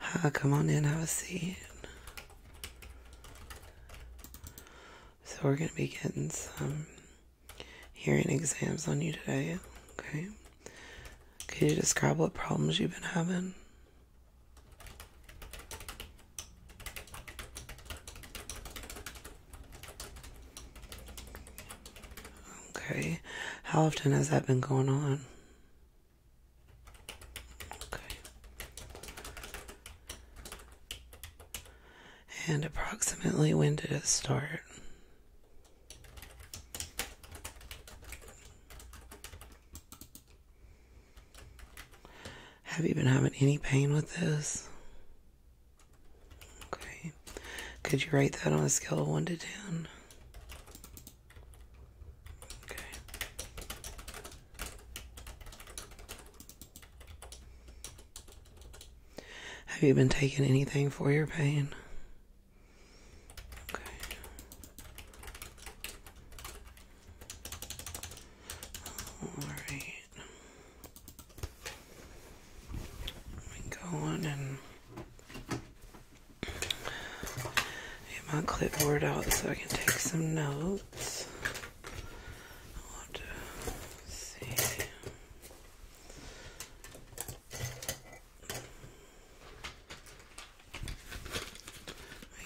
Hi, ah, come on in, have a seat. So we're going to be getting some hearing exams on you today, okay? Could you describe what problems you've been having? Okay. How often has that been going on? Okay. And approximately when did it start? Have you been having any pain with this? Okay. Could you rate that on a scale of 1 to 10? Okay. Have you been taking anything for your pain? Okay. All right. Let me go on and Get my clipboard out so I can take some notes.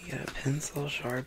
get a pencil sharpened.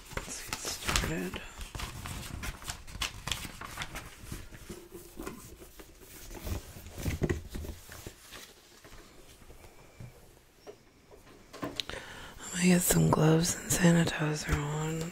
Let's get started. I'm gonna get some gloves and sanitizer on.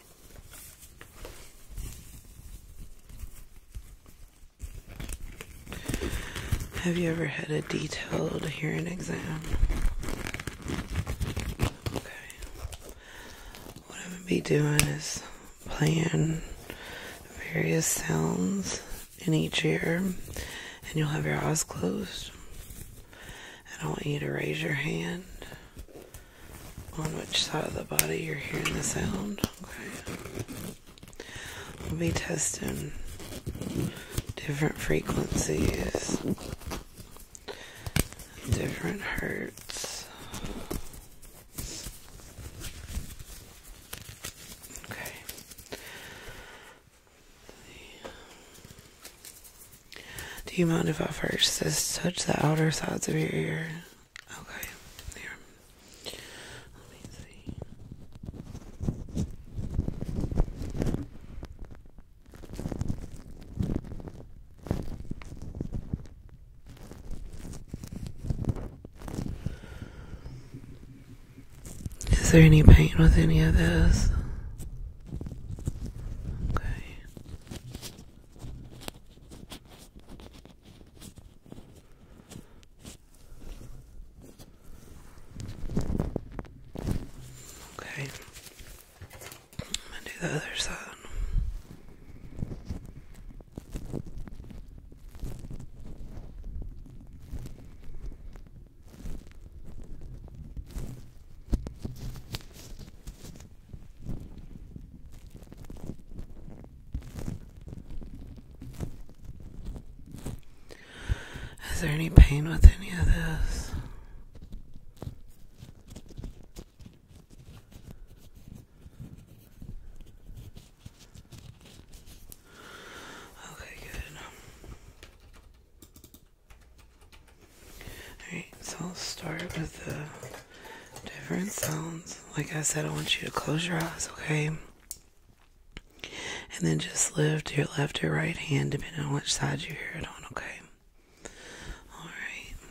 Have you ever had a detailed hearing exam? Okay. What I'm going to be doing is playing various sounds in each ear, and you'll have your eyes closed. I want you to raise your hand on which side of the body you're hearing the sound. Okay. We'll be testing different frequencies, different hertz. Okay. Do you mind if I first just touch the outer sides of your ear? Okay, Let me see. Is there any pain with any of this? Okay. Okay. I'm gonna do the other side. Is there any pain with any of this? Okay, good. Alright, so I'll start with the different sounds. Like I said, I want you to close your eyes, okay? And then just lift your left or right hand depending on which side you hear it on, okay? Alright. Okay.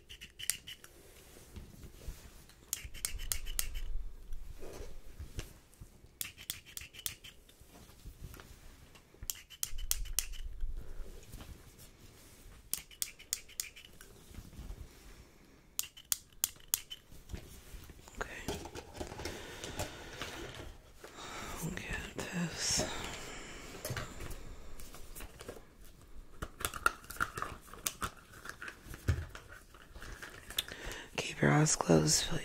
Okay. I'll get this. Keep your eyes closed, please.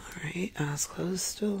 All right, eyes closed still.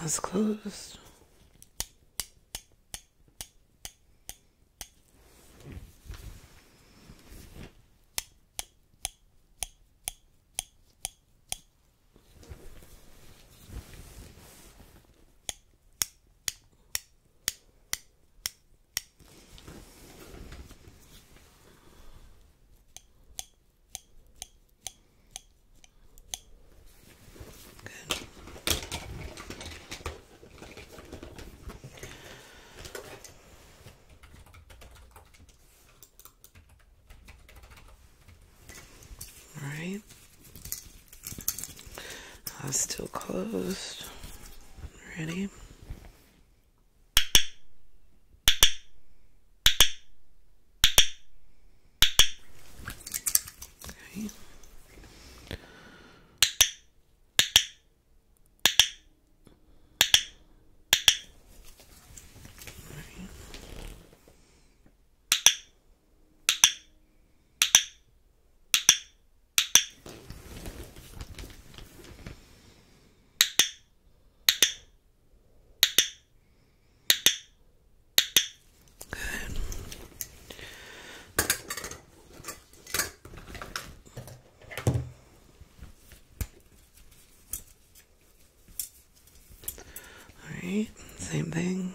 Eyes closed. Good. All right. That's uh, still closed. Ready? Okay. All right, same thing.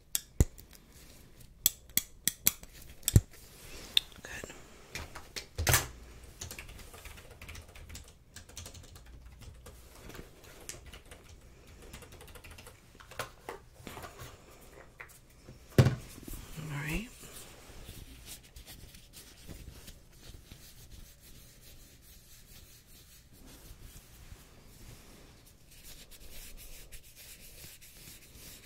Good. All right.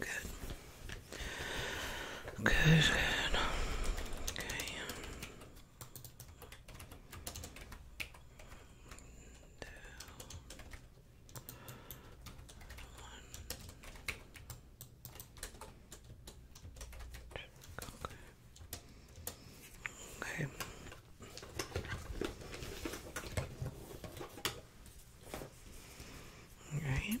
Good. Good, good. Okay. Two. One. Okay. Okay. All right.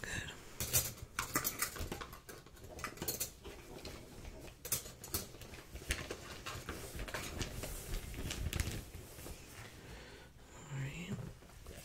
Good. All right. Okay.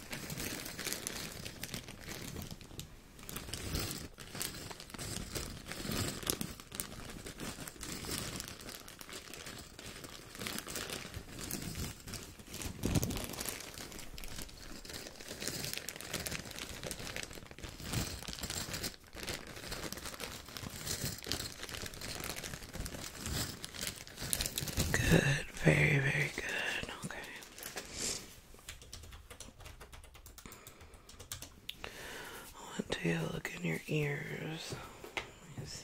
Good, very, very good. Okay. I want to look in your ears. Let me see.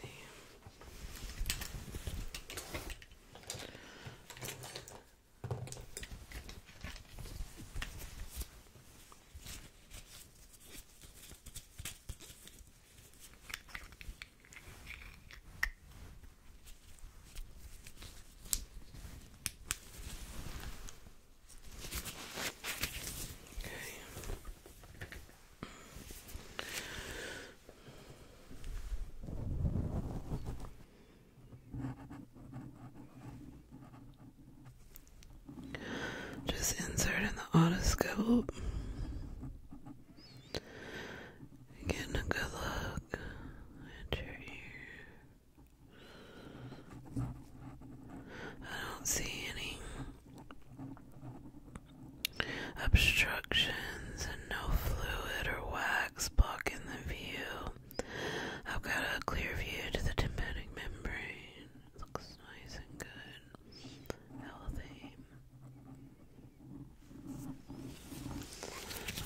Just insert in the otoscope Getting a good look at your ear. I don't see any obstructions and no fluid or wax blocking the view. I've got a clear view to the tympanic membrane. looks nice and good. Healthy.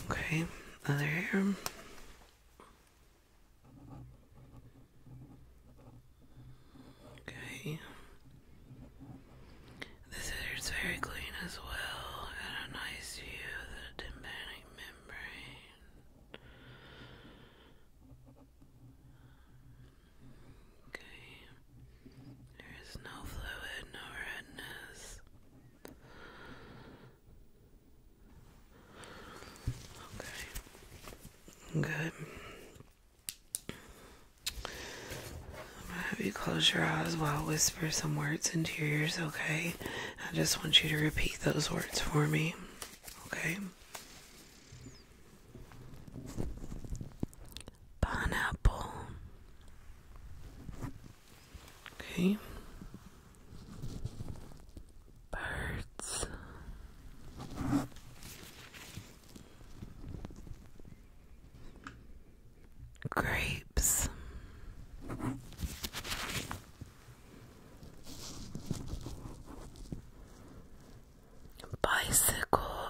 Okay, other hair. Okay. This hair's very clean as well. Got a nice view of the tympanic membrane. Okay. There is no fluid, no redness. Okay. Good. I'm have you close your eyes while I whisper some words into yours. okay? I just want you to repeat those words for me, okay? Pineapple Okay. Birds. Grapes. Bicycle.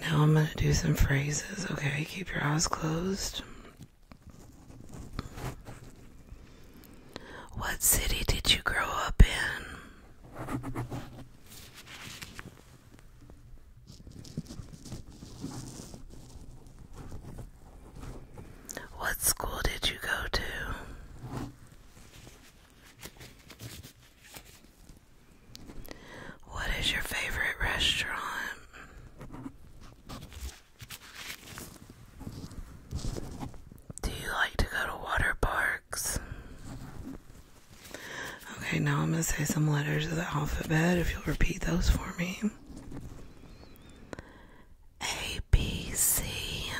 Now I'm going to do some phrases, okay? Keep your eyes closed. What city did you grow up in? What school did you go to? What is your favorite restaurant? Do you like to go to water parks? Okay, now I'm going to say some letters of the alphabet if you'll repeat those for me. A B C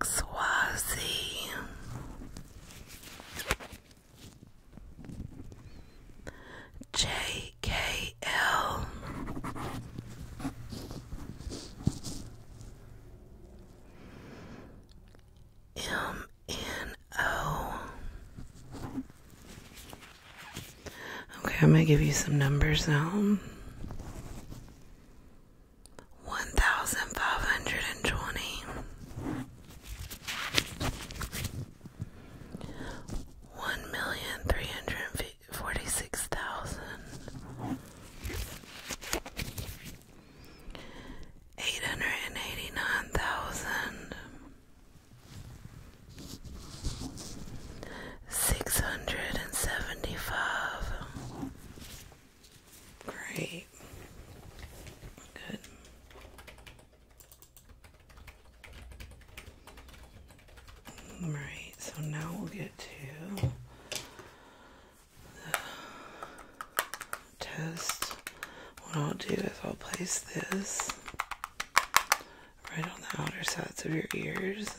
X Y Z J K L M N O. Okay, I'm going to give you some numbers now one thousand five hundred and twenty, one million three hundred forty six thousand, eight hundred and eighty nine thousand six hundred and seventy five. Great. Good. All right, so now we'll get to the test. What I'll do is I'll place this right on the outer sides of your ears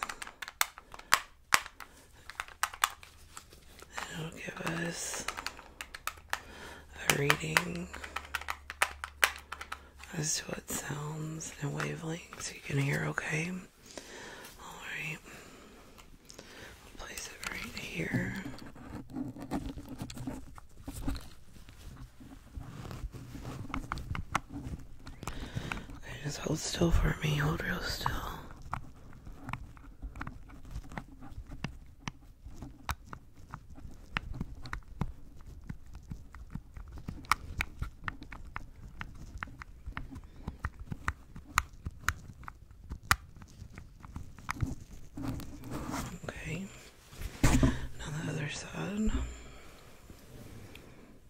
It'll give us a reading as to what sounds and wavelengths you can hear, okay? Alright. place it right here. Okay, just hold still for me. Hold real still. Okay. Now the other side.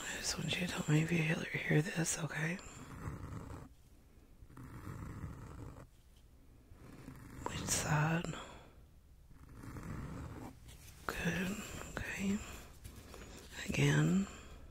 I just want you to tell if you hear this, okay? Which side? Good, okay. Again.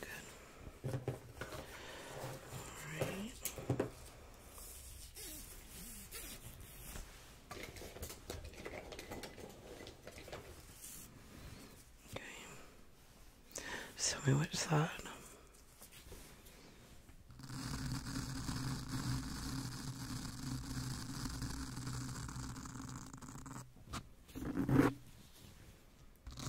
Good. All right. Okay. Just tell me Good.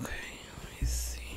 Okay, let me see.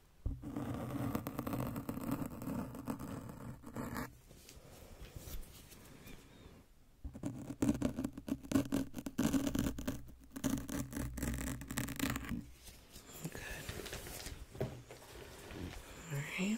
Good. All right. Okay.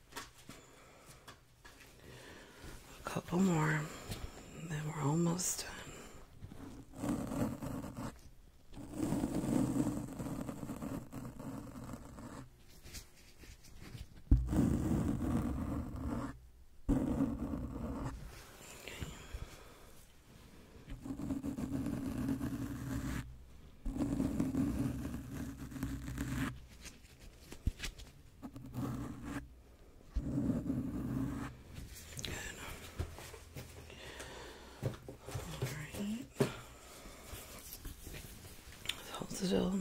A couple more, and then we're almost done. Okay. Alright. Hold it. Okay.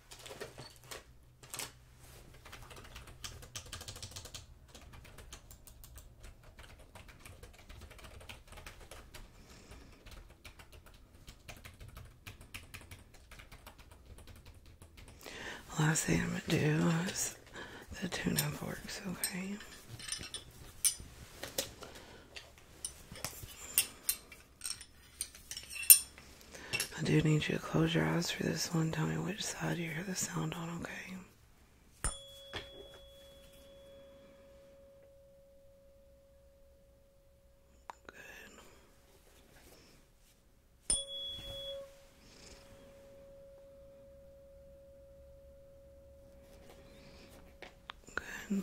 last thing I'm going to do is the tuna forks. okay? I do need you to close your eyes for this one. Tell me which side you hear the sound on, okay? Good. Good.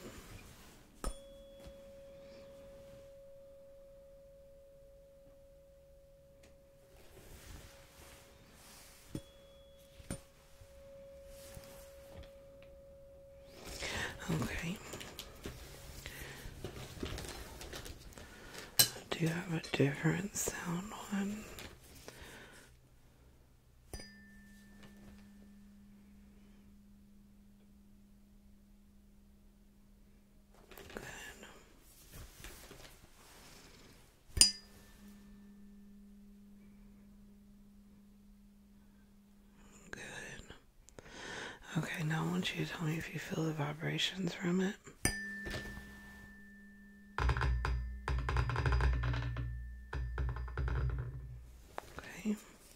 Okay. I do have a different sound one? Good. Good. Okay, now I want you to tell me if you feel the vibrations from it. Okay.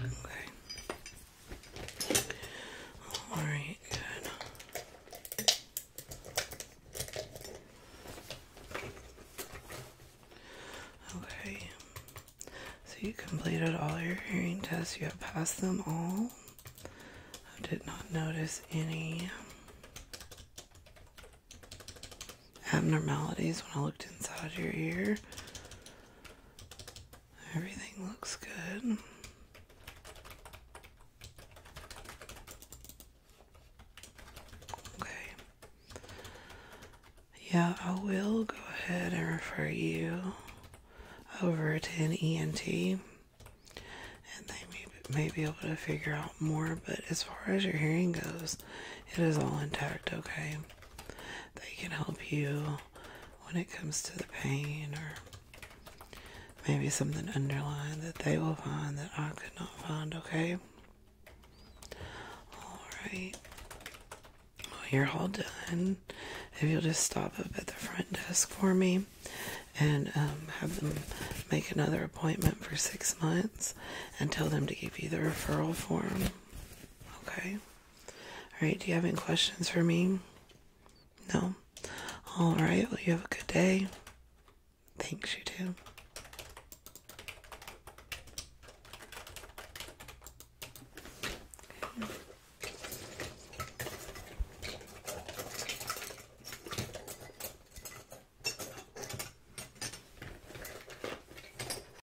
Okay. All right, good. Okay. So you completed all your hearing tests. You have passed them all. I did not notice any abnormalities when I looked inside your ear. Everything looks good. Okay. Yeah, I will go ahead and refer you over to an ENT, and they may, may be able to figure out more. But as far as your hearing goes, it is all intact, okay? They can help you when it comes to the pain or maybe something underlying that they will find that I could not find, okay? Alright. Well, you're all done. If you'll just stop up at the front desk for me and um, have them make another appointment for six months and tell them to give you the referral form. Okay? All right, do you have any questions for me? No? All right, well, you have a good day. Thanks, you too.